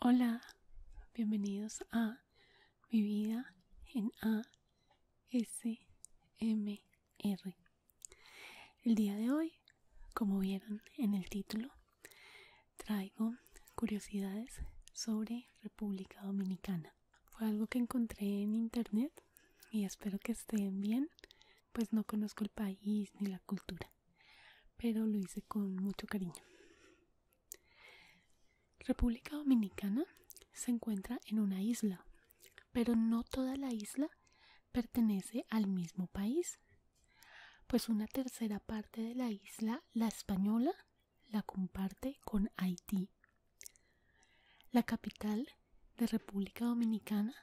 Hola, bienvenidos a Mi vida en ASMR. El día de hoy, como vieron en el título, traigo curiosidades sobre República Dominicana fue algo que encontré en internet y espero que estén bien, pues no conozco el país ni la cultura, pero lo hice con mucho cariño. República Dominicana se encuentra en una isla, pero no toda la isla pertenece al mismo país, pues una tercera parte de la isla, la española, la comparte con Haití. La capital de República Dominicana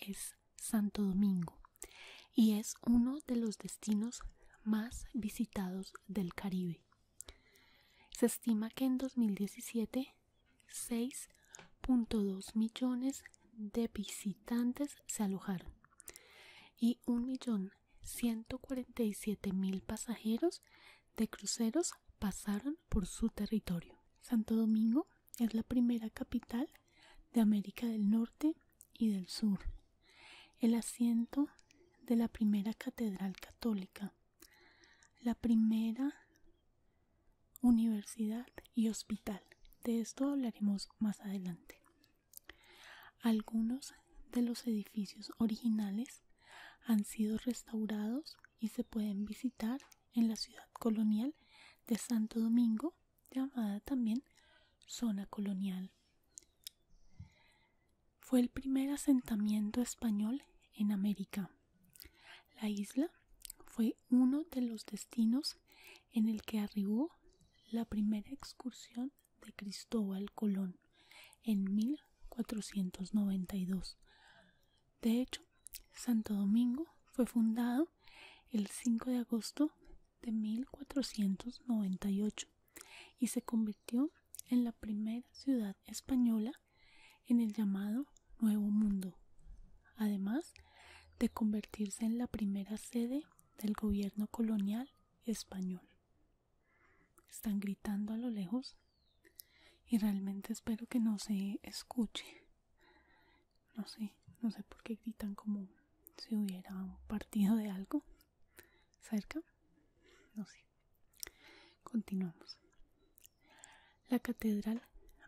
es Santo Domingo y es uno de los destinos más visitados del Caribe. Se estima que en 2017 6.2 millones de visitantes se alojaron y millón 147.000 pasajeros de cruceros pasaron por su territorio. Santo Domingo es la primera capital de América del Norte y del Sur, el asiento de la primera catedral católica, la primera universidad y hospital. De esto hablaremos más adelante. Algunos de los edificios originales han sido restaurados y se pueden visitar en la ciudad colonial de Santo Domingo, llamada también zona colonial. Fue el primer asentamiento español en América. La isla fue uno de los destinos en el que arribó la primera excursión de Cristóbal Colón en 1492. De hecho, Santo Domingo fue fundado el 5 de agosto de 1498 y se convirtió en la primera ciudad española en el llamado Nuevo Mundo, además de convertirse en la primera sede del gobierno colonial español. Están gritando a lo lejos y realmente espero que no se escuche. No sé, no sé por qué gritan como si hubiera partido de algo cerca. No sé. Continuamos. La catedral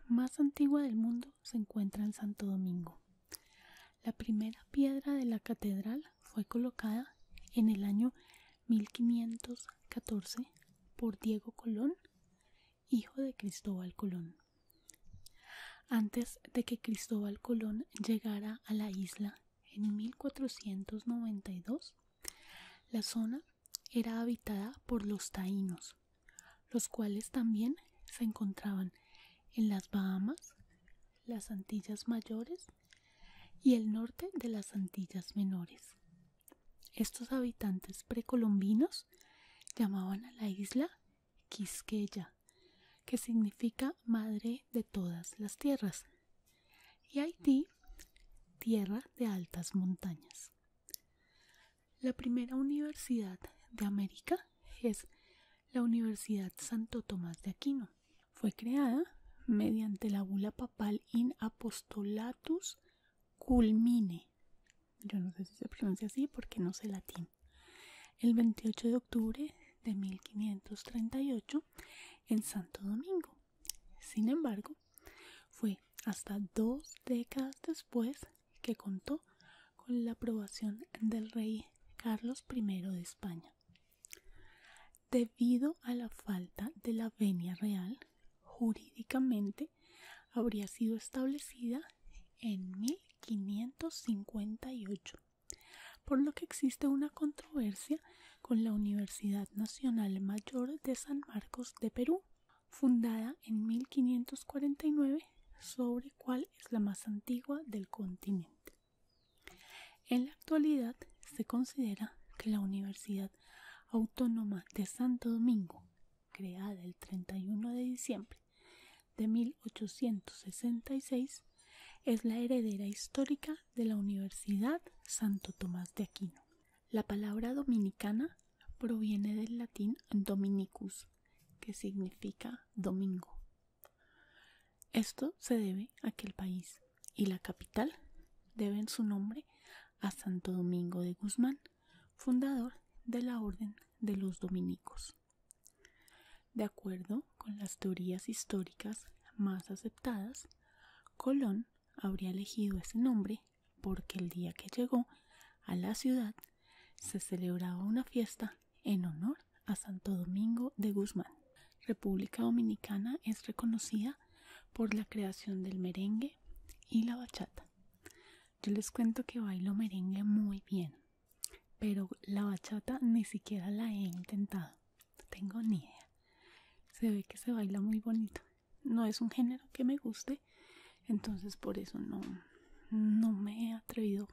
más antigua del mundo se encuentra en Santo Domingo. La primera piedra de la catedral fue colocada en el año 1514 por Diego Colón, hijo de Cristóbal Colón. Antes de que Cristóbal Colón llegara a la isla en 1492, la zona era habitada por los taínos, los cuales también se encontraban en las Bahamas, las Antillas Mayores y el norte de las Antillas Menores. Estos habitantes precolombinos llamaban a la isla Quisqueya, que significa madre de todas las tierras, y Haití, tierra de altas montañas. La primera universidad de América es la Universidad Santo Tomás de Aquino, fue creada mediante la bula papal in apostolatus culmine. Yo no sé si se pronuncia así porque no sé latín. El 28 de octubre de 1538 en Santo Domingo. Sin embargo, fue hasta dos décadas después que contó con la aprobación del rey Carlos I de España. Debido a la falta de la venia real, jurídicamente habría sido establecida en 1558, por lo que existe una controversia con la Universidad Nacional Mayor de San Marcos de Perú, fundada en 1549, sobre cuál es la más antigua del continente. En la actualidad se considera que la Universidad Autónoma de Santo Domingo, creada el 31 de diciembre de 1866, es la heredera histórica de la Universidad Santo Tomás de Aquino. La palabra dominicana proviene del latín dominicus, que significa domingo. Esto se debe a que el país y la capital deben su nombre a Santo Domingo de Guzmán, fundador de la Orden de los Dominicos. De acuerdo con las teorías históricas más aceptadas, Colón habría elegido ese nombre porque el día que llegó a la ciudad se celebraba una fiesta en honor a Santo Domingo de Guzmán. República Dominicana es reconocida por la creación del merengue y la bachata. Yo les cuento que bailo merengue muy bien, pero la bachata ni siquiera la he intentado. No tengo ni idea. Se ve que se baila muy bonito. No es un género que me guste, entonces por eso no, no me he atrevido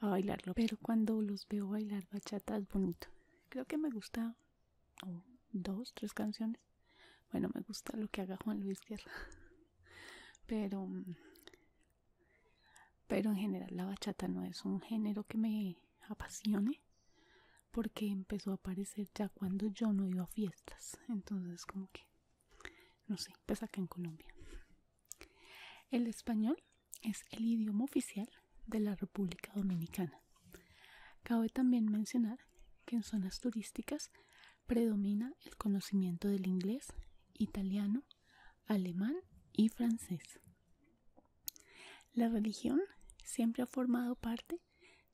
a bailarlo. Pero cuando los veo bailar bachata es bonito. Creo que me gusta o dos, tres canciones. Bueno, me gusta lo que haga Juan Luis Guerra, pero, pero en general la bachata no es un género que me apasione porque empezó a aparecer ya cuando yo no iba a fiestas, entonces como que, no sé, pues acá en Colombia. El español es el idioma oficial de la República Dominicana. Cabe también mencionar que en zonas turísticas predomina el conocimiento del inglés, italiano, alemán y francés. La religión siempre ha formado parte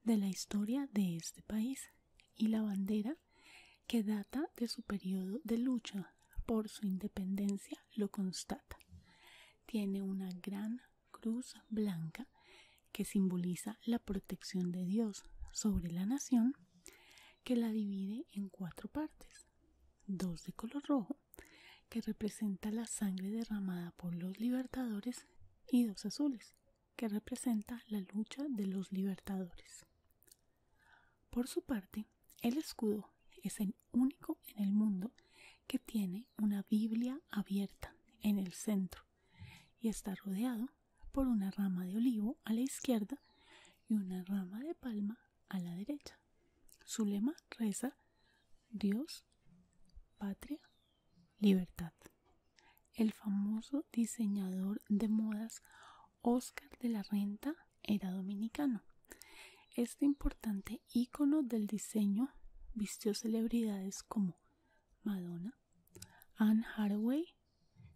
de la historia de este país y la bandera que data de su periodo de lucha por su independencia lo constata. Tiene una gran cruz blanca que simboliza la protección de Dios sobre la nación, que la divide en cuatro partes, dos de color rojo, que representa la sangre derramada por los libertadores, y dos azules, que representa la lucha de los libertadores. Por su parte, el escudo es el único en el mundo que tiene una Biblia abierta en el centro y está rodeado por una rama de olivo a la izquierda y una rama de palma a la derecha. Su lema reza Dios, patria, libertad. El famoso diseñador de modas Oscar de la Renta era dominicano. Este importante icono del diseño vistió celebridades como Madonna, Anne Hathaway,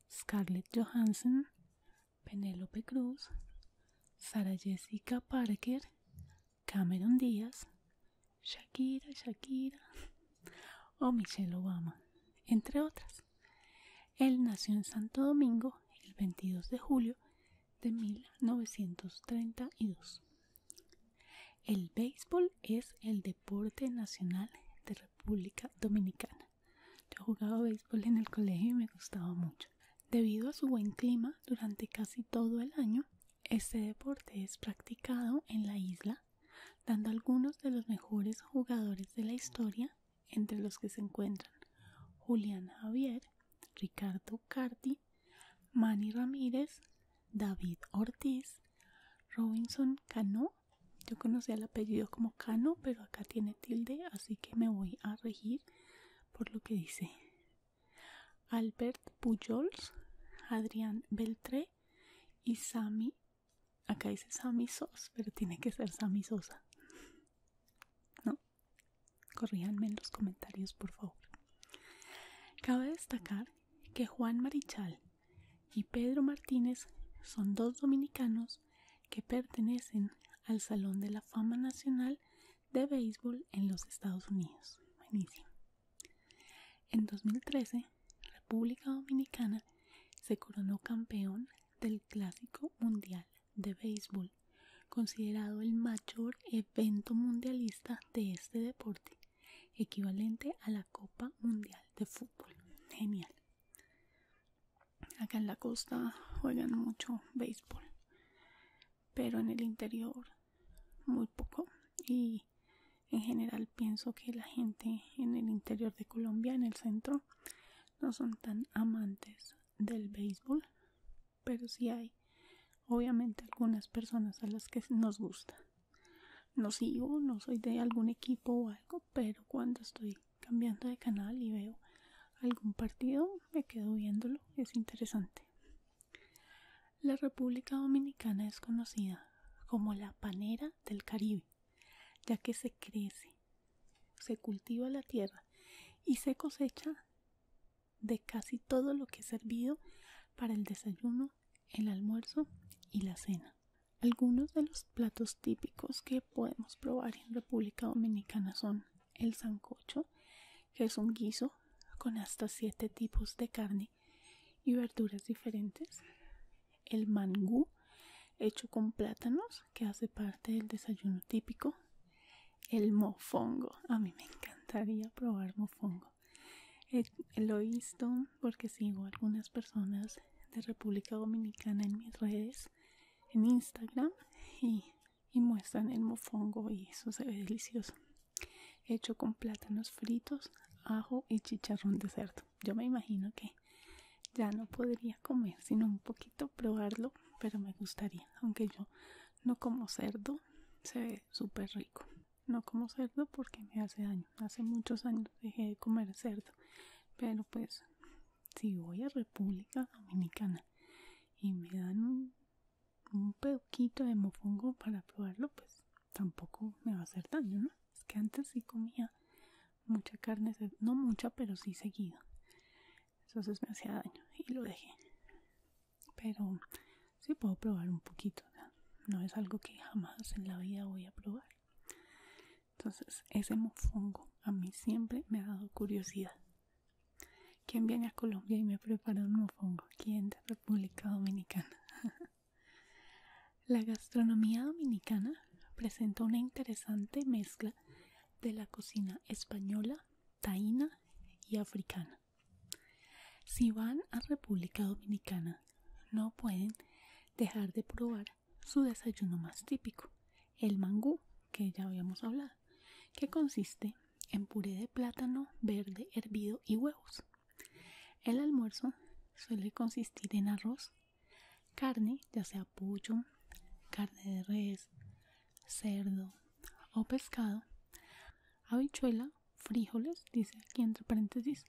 Scarlett Johansson, Penélope Cruz, Sara Jessica Parker, Cameron Díaz, Shakira, Shakira o Michelle Obama, entre otras. Él nació en Santo Domingo el 22 de julio de 1932. El béisbol es el deporte nacional de República Dominicana. Yo jugaba béisbol en el colegio y me gustaba mucho. Debido a su buen clima durante casi todo el año, este deporte es practicado en la isla, dando algunos de los mejores jugadores de la historia, entre los que se encuentran Julián Javier, Ricardo Carti, Manny Ramírez, David Ortiz, Robinson Cano. Yo conocía el apellido como Cano, pero acá tiene tilde, así que me voy a regir por lo que dice. Albert Pujols, Adrián Beltré y Sami. Acá dice Sami Sos, pero tiene que ser Sami Sosa. No, Corríanme en los comentarios, por favor. Cabe destacar que Juan Marichal y Pedro Martínez son dos dominicanos que pertenecen al Salón de la Fama Nacional de Béisbol en los Estados Unidos. En 2013, República Dominicana se coronó campeón del Clásico Mundial de Béisbol, considerado el mayor evento mundialista de este deporte equivalente a la Copa Mundial de Fútbol. Genial. Acá en la costa juegan mucho béisbol, pero en el interior muy poco. Y en general pienso que la gente en el interior de Colombia, en el centro, no son tan amantes del béisbol, pero sí hay obviamente algunas personas a las que nos gusta no sigo, no soy de algún equipo o algo, pero cuando estoy cambiando de canal y veo algún partido, me quedo viéndolo, es interesante. La República Dominicana es conocida como la panera del Caribe, ya que se crece, se cultiva la tierra y se cosecha de casi todo lo que es servido para el desayuno el almuerzo y la cena. Algunos de los platos típicos que podemos probar en República Dominicana son el sancocho, que es un guiso con hasta siete tipos de carne y verduras diferentes, el mangú, hecho con plátanos, que hace parte del desayuno típico, el mofongo, a mí me encantaría probar mofongo, lo he visto porque sigo a algunas personas de República Dominicana en mis redes en Instagram y, y muestran el mofongo y eso se ve delicioso hecho con plátanos fritos ajo y chicharrón de cerdo yo me imagino que ya no podría comer sino un poquito probarlo pero me gustaría aunque yo no como cerdo se ve súper rico no como cerdo porque me hace daño hace muchos años dejé de comer cerdo pero pues si voy a República Dominicana y me dan un, un de mofongo para probarlo pues tampoco me va a hacer daño no es que antes sí comía mucha carne no mucha pero sí seguido entonces me hacía daño y lo dejé pero si puedo probar un poquito, ¿no? es algo que jamás en la vida voy a probar. Entonces ese mofongo a mí siempre me ha dado curiosidad. ¿Quién viene a Colombia y me prepara un mofongo? ¿Quién de República Dominicana? la gastronomía dominicana presenta una interesante mezcla de la cocina española, taína y africana. Si van a República Dominicana, no pueden dejar de probar su desayuno más típico, el mangú, que ya habíamos hablado, que consiste en puré de plátano verde hervido y huevos. El almuerzo suele consistir en arroz, carne, ya sea pollo, carne de res, cerdo o pescado, habichuela, frijoles, dice aquí entre paréntesis,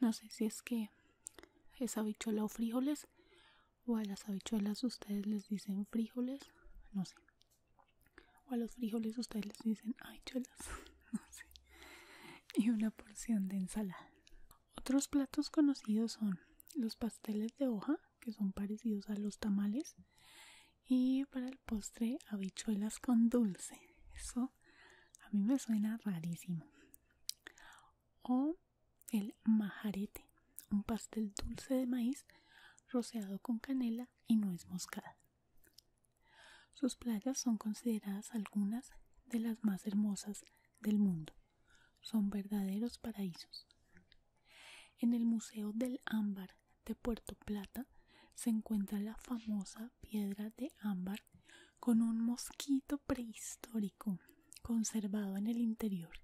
no sé si es que es habichuela o frijoles o a las habichuelas ustedes les dicen frijoles, no sé. O a los frijoles ustedes les dicen habichuelas, no sé. Y una porción de ensalada. Otros platos conocidos son los pasteles de hoja, que son parecidos a los tamales. Y para el postre, habichuelas con dulce. Eso a mí me suena rarísimo. O el majarete, un pastel dulce de maíz roceado con canela y nuez moscada. Sus playas son consideradas algunas de las más hermosas del mundo. Son verdaderos paraísos. En el Museo del Ámbar de Puerto Plata se encuentra la famosa piedra de ámbar con un mosquito prehistórico conservado en el interior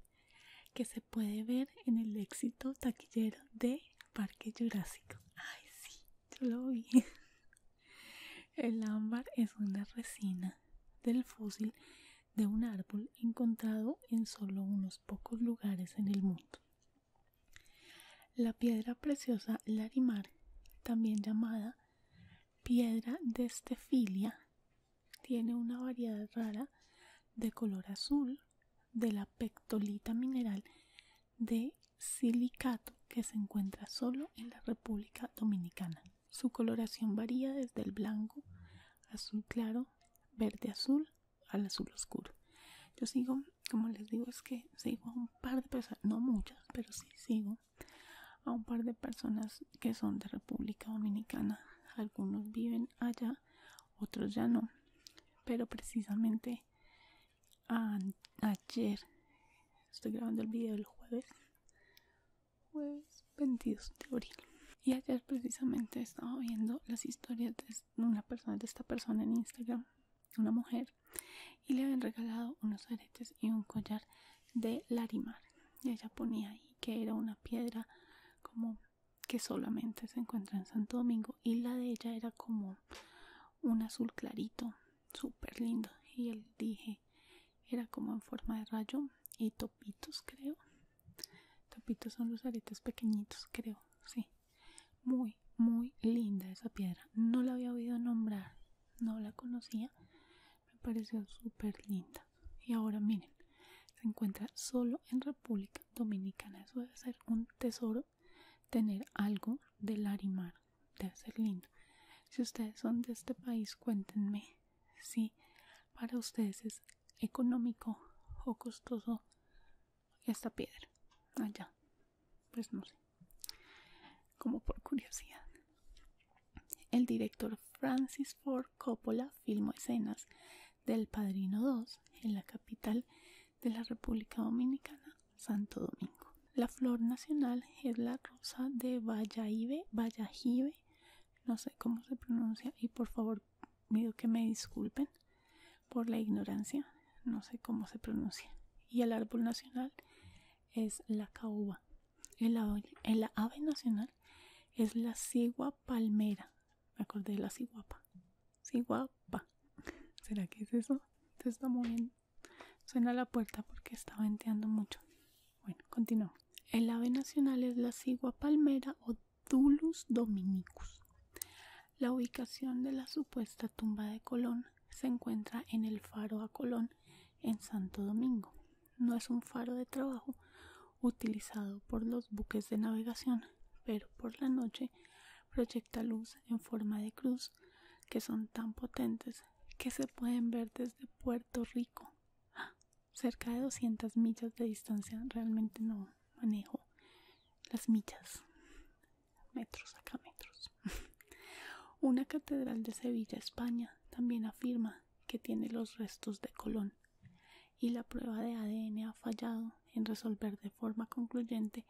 que se puede ver en el éxito taquillero de Parque Jurásico. Ay, sí, yo lo vi. El ámbar es una resina del fósil de un árbol encontrado en solo unos pocos lugares en el mundo. La piedra preciosa Larimar, también llamada piedra de estefilia, tiene una variedad rara de color azul de la pectolita mineral de silicato que se encuentra solo en la República Dominicana. Su coloración varía desde el blanco, azul claro, verde azul al azul oscuro. Yo sigo como les digo es que sigo a un par de personas no muchas pero sí sigo a un par de personas que son de República Dominicana algunos viven allá otros ya no pero precisamente ayer estoy grabando el video el jueves jueves 22 de abril y ayer precisamente estaba viendo las historias de una persona de esta persona en Instagram una mujer, y le habían regalado unos aretes y un collar de larimar. Y ella ponía ahí que era una piedra como que solamente se encuentra en Santo Domingo y la de ella era como un azul clarito, súper lindo. Y él dije, era como en forma de rayo y topitos creo. Topitos son los aretes pequeñitos creo, sí. Muy, muy linda esa piedra. No la había oído nombrar no la conocía, me pareció súper linda. Y ahora miren, se encuentra solo en República Dominicana. Eso debe ser un tesoro, tener algo de Larimar, debe ser lindo. Si ustedes son de este país, cuéntenme si para ustedes es económico o costoso esta piedra allá pues no sé, como por curiosidad. El director Francis Ford Coppola filmó escenas del Padrino 2 en la capital de la República Dominicana, Santo Domingo. La flor nacional es la rosa de Vallagive, no sé cómo se pronuncia y por favor pido que me disculpen por la ignorancia, no sé cómo se pronuncia. Y el árbol nacional es la caoba. El ave, ave nacional es la cigua palmera. Me acordé de la ciguapa. Ciguapa. ¿Será que es eso? Se está moviendo. Suena la puerta porque está venteando mucho. Bueno, continuamos. El ave nacional es la cigua palmera o Dulus dominicus. La ubicación de la supuesta tumba de Colón se encuentra en el Faro a Colón en Santo Domingo. No es un faro de trabajo utilizado por los buques de navegación, pero por la noche proyecta luz en forma de cruz que son tan potentes que se pueden ver desde Puerto Rico, ah, cerca de 200 millas de distancia. Realmente no manejo las millas, metros acá metros una catedral de Sevilla, España, también afirma que tiene los restos de Colón y la prueba de ADN ha fallado en resolver de forma concluyente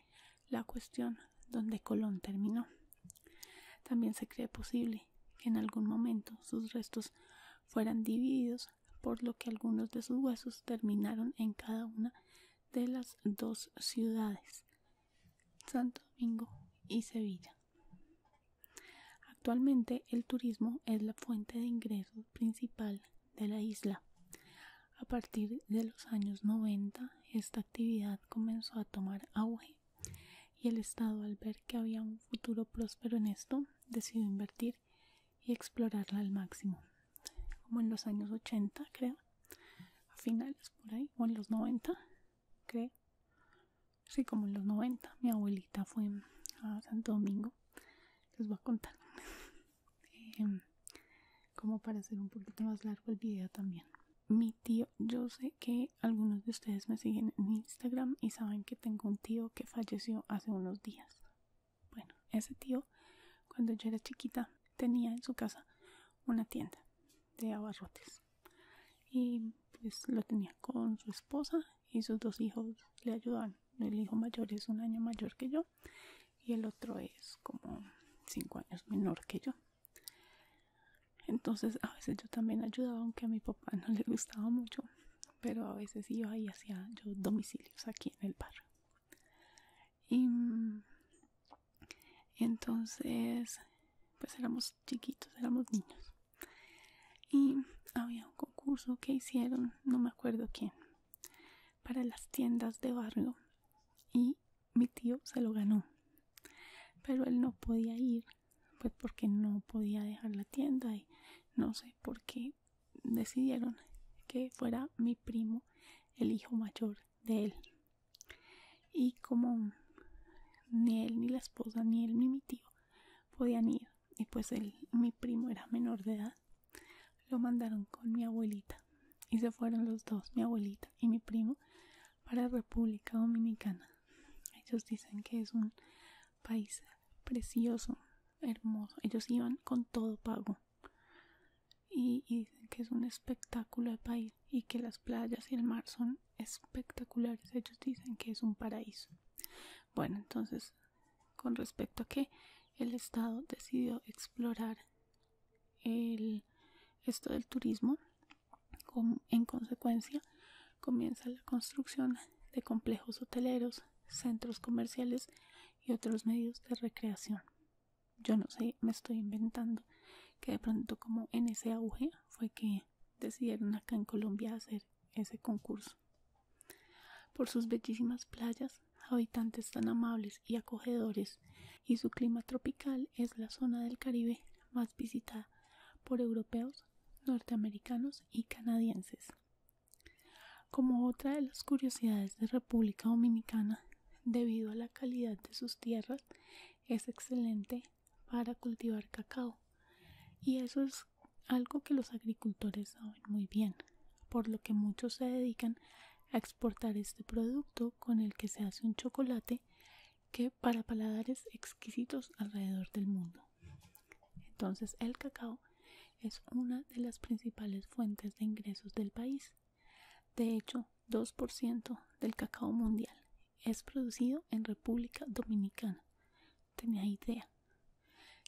la cuestión donde Colón terminó. También se cree posible que en algún momento sus restos fueran divididos, por lo que algunos de sus huesos terminaron en cada una de las dos ciudades Santo Domingo y Sevilla. Actualmente el turismo es la fuente de ingresos principal de la isla. A partir de los años 90 esta actividad comenzó a tomar auge y el Estado al ver que había un futuro próspero en esto decidió invertir y explorarla al máximo. Como en los años 80 creo, a finales por ahí o en los 90 creo. así como en los 90. Mi abuelita fue a Santo Domingo. Les voy a contar. Em, como para hacer un poquito más largo el video también. Mi tío, yo sé que algunos de ustedes me siguen en Instagram y saben que tengo un tío que falleció hace unos días. Bueno, ese tío, cuando yo era chiquita, tenía en su casa una tienda de abarrotes y pues lo tenía con su esposa y sus dos hijos le ayudaban el hijo mayor es un año mayor que yo y el otro es como cinco años menor que yo entonces a veces yo también ayudaba aunque a mi papá no le gustaba mucho pero a veces iba y hacía yo domicilios aquí en el bar y entonces pues éramos chiquitos éramos niños y había un concurso que hicieron no me acuerdo quién para las tiendas de barrio y mi tío se lo ganó pero él no podía ir pues porque no podía dejar la tienda y no sé por qué decidieron que fuera mi primo el hijo mayor de él y como ni él ni la esposa ni él ni mi tío podían ir y pues él mi primo era menor de edad lo mandaron con mi abuelita y se fueron los dos mi abuelita y mi primo para República Dominicana ellos dicen que es un país precioso hermoso ellos iban con todo pago y, y dicen que es un espectáculo de país y que las playas y el mar son espectaculares. Ellos dicen que es un paraíso. Bueno, entonces, con respecto a que el Estado decidió explorar el, esto del turismo, en consecuencia, comienza la construcción de complejos hoteleros, centros comerciales y otros medios de recreación. Yo no sé, me estoy inventando que de pronto como en ese auge fue que decidieron acá en Colombia hacer ese concurso. Por sus bellísimas playas, habitantes tan amables y acogedores y su clima tropical es la zona del Caribe más visitada por europeos, norteamericanos y canadienses. Como otra de las curiosidades de República Dominicana, debido a la calidad de sus tierras, es excelente para cultivar cacao y eso es algo que los agricultores saben muy bien por lo que muchos se dedican a exportar este producto con el que se hace un chocolate que para paladares exquisitos alrededor del mundo entonces el cacao es una de las principales fuentes de ingresos del país de hecho 2% del cacao mundial es producido en República Dominicana. Tenía idea,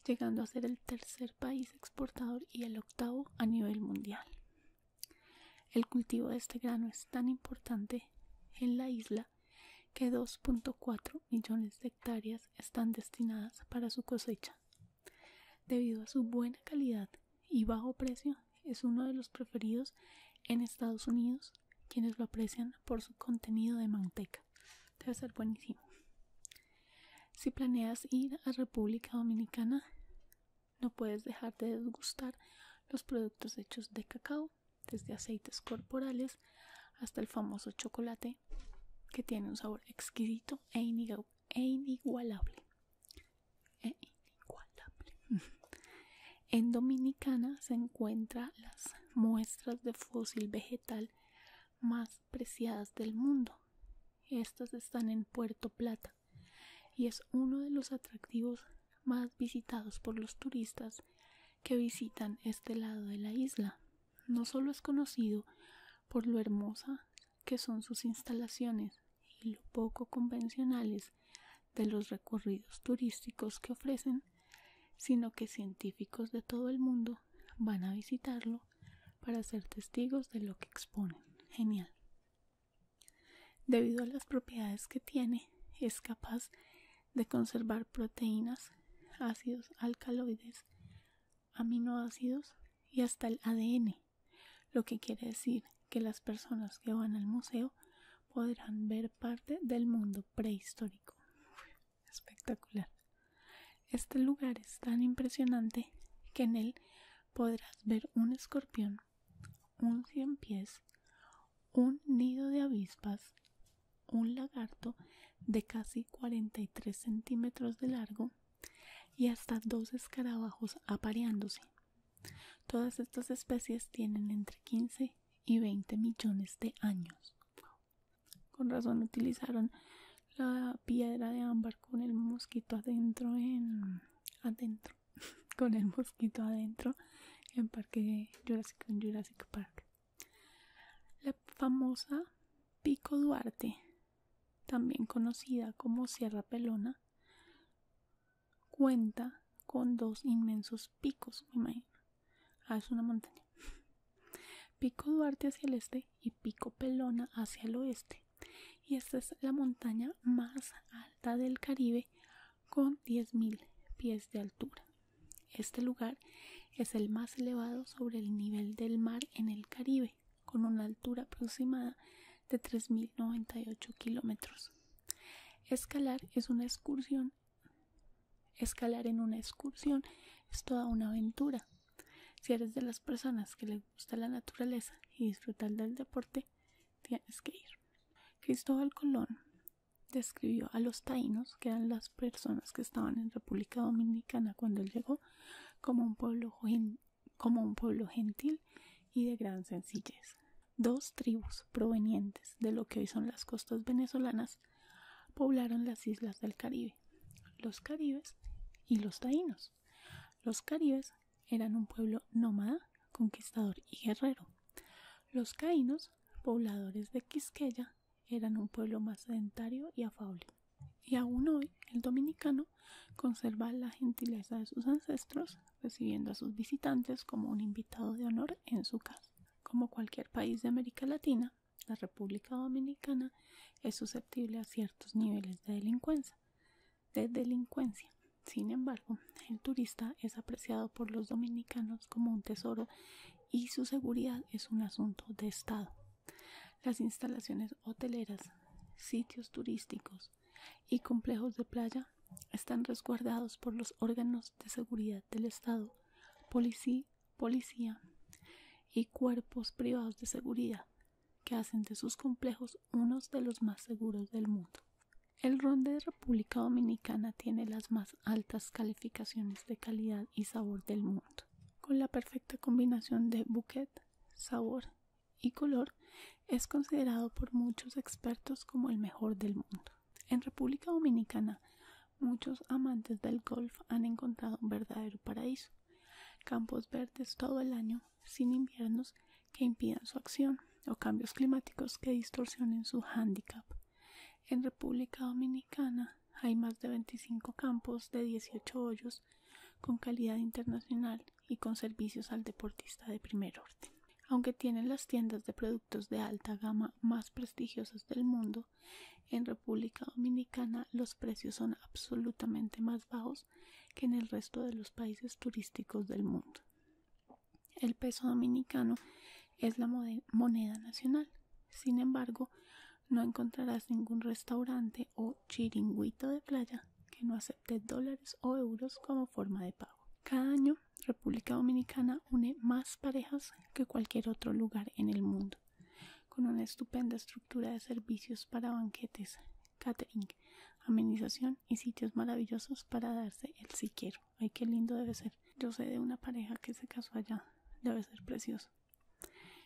llegando a ser el tercer país exportador y el octavo a nivel mundial. El cultivo de este grano es tan importante en la isla que 2.4 millones de hectáreas están destinadas para su cosecha. Debido a su buena calidad y bajo precio, es uno de los preferidos en Estados Unidos quienes lo aprecian por su contenido de manteca. Debe ser buenísimo. Si planeas ir a República Dominicana, no puedes dejar de degustar los productos hechos de cacao, desde aceites corporales hasta el famoso chocolate, que tiene un sabor exquisito e, e inigualable. Eh, en Dominicana se encuentran las muestras de fósil vegetal más preciadas del mundo. Estas están en Puerto Plata y es uno de los atractivos más visitados por los turistas que visitan este lado de la isla. No solo es conocido por lo hermosa que son sus instalaciones y lo poco convencionales de los recorridos turísticos que ofrecen, sino que científicos de todo el mundo van a visitarlo para ser testigos de lo que exponen. Genial. Debido a las propiedades que tiene, es capaz de conservar proteínas, ácidos alcaloides, aminoácidos y hasta el ADN, lo que quiere decir que las personas que van al museo podrán ver parte del mundo prehistórico. Espectacular. Este lugar es tan impresionante que en él podrás ver un escorpión, un cien pies, un nido de avispas, un lagarto de casi 43 centímetros de largo y hasta dos escarabajos apareándose, Todas estas especies tienen entre 15 y 20 millones de años. Con razón utilizaron la piedra de ámbar con el mosquito adentro en adentro con el mosquito adentro en Parque Jurassic Park. La famosa Pico Duarte, también conocida como Sierra Pelona, cuenta con dos inmensos picos, me imagino. Ah, es una montaña. Pico Duarte hacia el este y Pico Pelona hacia el oeste. Y esta es la montaña más alta del Caribe con 10.000 pies de altura. Este lugar es el más elevado sobre el nivel del mar en el Caribe, con una altura aproximada de 3.098 kilómetros. Escalar es una excursión Escalar en una excursión es toda una aventura. Si eres de las personas que les gusta la naturaleza y disfrutar del deporte, tienes que ir. Cristóbal Colón describió a los taínos, que eran las personas que estaban en República Dominicana cuando él llegó, como un pueblo, como un pueblo gentil y de gran sencillez. Dos tribus provenientes de lo que hoy son las costas venezolanas poblaron las islas del Caribe, los caribes y los taínos. Los caribes eran un pueblo nómada, conquistador y guerrero. Los caínos, pobladores de Quisqueya, eran un pueblo más sedentario y afable. Y aún hoy el dominicano conserva la gentileza de sus ancestros recibiendo a sus visitantes como un invitado de honor en su casa. Como cualquier país de América Latina, la República Dominicana es susceptible a ciertos niveles de delincuencia. De delincuencia. Sin embargo, el turista es apreciado por los dominicanos como un tesoro y su seguridad es un asunto de Estado. Las instalaciones hoteleras, sitios turísticos y complejos de playa están resguardados por los órganos de seguridad del Estado, policía y cuerpos privados de seguridad que hacen de sus complejos unos de los más seguros del mundo. El ron de República Dominicana tiene las más altas calificaciones de calidad y sabor del mundo. Con la perfecta combinación de bouquet, sabor y color, es considerado por muchos expertos como el mejor del mundo. En República Dominicana, muchos amantes del golf han encontrado un verdadero paraíso. Campos verdes todo el año, sin inviernos que impidan su acción o cambios climáticos que distorsionen su handicap. En República Dominicana hay más de 25 campos de 18 hoyos con calidad internacional y con servicios al deportista de primer orden. Aunque tienen las tiendas de productos de alta gama más prestigiosas del mundo, en República Dominicana los precios son absolutamente más bajos que en el resto de los países turísticos del mundo. El peso dominicano es la moneda nacional. Sin embargo, no encontrarás ningún restaurante o chiringuito de playa que no acepte dólares o euros como forma de pago. Cada año República Dominicana une más parejas que cualquier otro lugar en el mundo, con una estupenda estructura de servicios para banquetes, catering, amenización y sitios maravillosos para darse el siquero. Ay, qué lindo debe ser. Yo sé de una pareja que se casó allá. Debe ser precioso.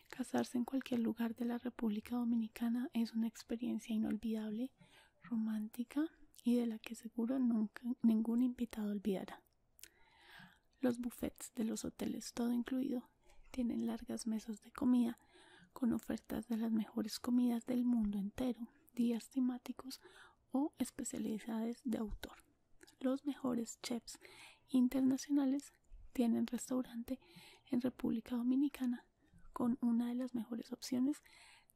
Casarse en cualquier lugar de la República Dominicana es una experiencia inolvidable, romántica y de la que seguro nunca ningún invitado olvidará. Los buffets de los hoteles, todo incluido, tienen largas mesas de comida con ofertas de las mejores comidas del mundo entero, días temáticos o especialidades de autor. Los mejores chefs internacionales tienen restaurante en República Dominicana con una de las mejores opciones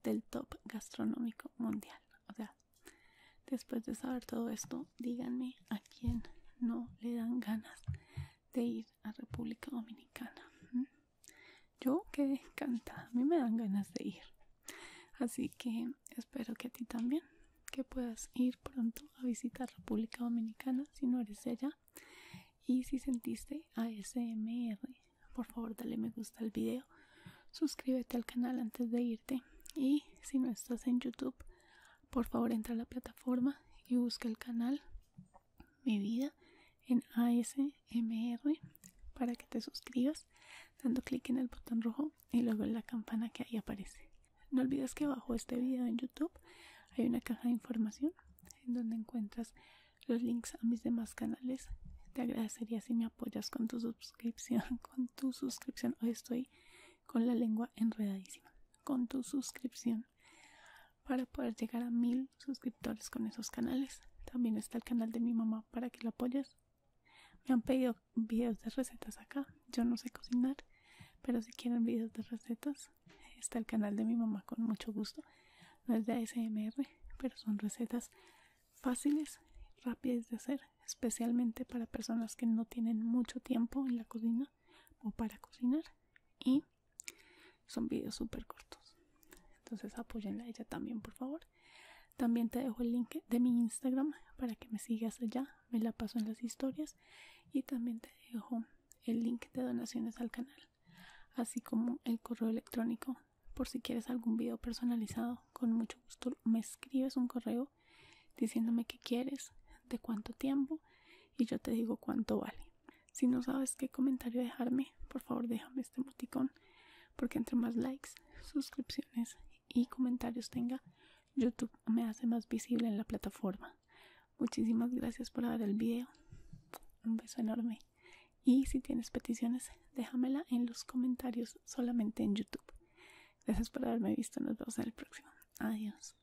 del top gastronómico mundial. O sea, después de saber todo esto, díganme a quién no le dan ganas de ir a República Dominicana. Yo quedé encanta, a mí me dan ganas de ir. Así que espero que a ti también, que puedas ir pronto a visitar República Dominicana si no eres ella Y si sentiste ASMR, por favor dale me gusta al video suscríbete al canal antes de irte y si no estás en youtube por favor entra a la plataforma y busca el canal mi vida en ASMR para que te suscribas dando clic en el botón rojo y luego en la campana que ahí aparece no olvides que bajo este video en youtube hay una caja de información en donde encuentras los links a mis demás canales te agradecería si me apoyas con tu suscripción con tu suscripción. Hoy estoy con la lengua enredadísima. Con tu suscripción. Para poder llegar a mil suscriptores con esos canales. También está el canal de mi mamá para que lo apoyes. Me han pedido videos de recetas acá. Yo no sé cocinar. Pero si quieren videos de recetas, está el canal de mi mamá con mucho gusto. No es de ASMR, pero son recetas fáciles, rápidas de hacer especialmente para personas que no tienen mucho tiempo en la cocina o para cocinar y son vídeos súper cortos entonces apóyenla a ella también por favor también te dejo el link de mi instagram para que me sigas allá me la paso en las historias y también te dejo el link de donaciones al canal así como el correo electrónico por si quieres algún video personalizado con mucho gusto me escribes un correo diciéndome qué quieres, de cuánto tiempo y yo te digo cuánto vale. Si no sabes qué comentario dejarme, por favor déjame este emoticón porque entre más likes, suscripciones y comentarios tenga, YouTube me hace más visible en la plataforma. Muchísimas gracias por ver el video. Un beso enorme. Y si tienes peticiones, déjamela en los comentarios solamente en YouTube. Gracias por haberme visto. Nos vemos en el próximo. Adiós.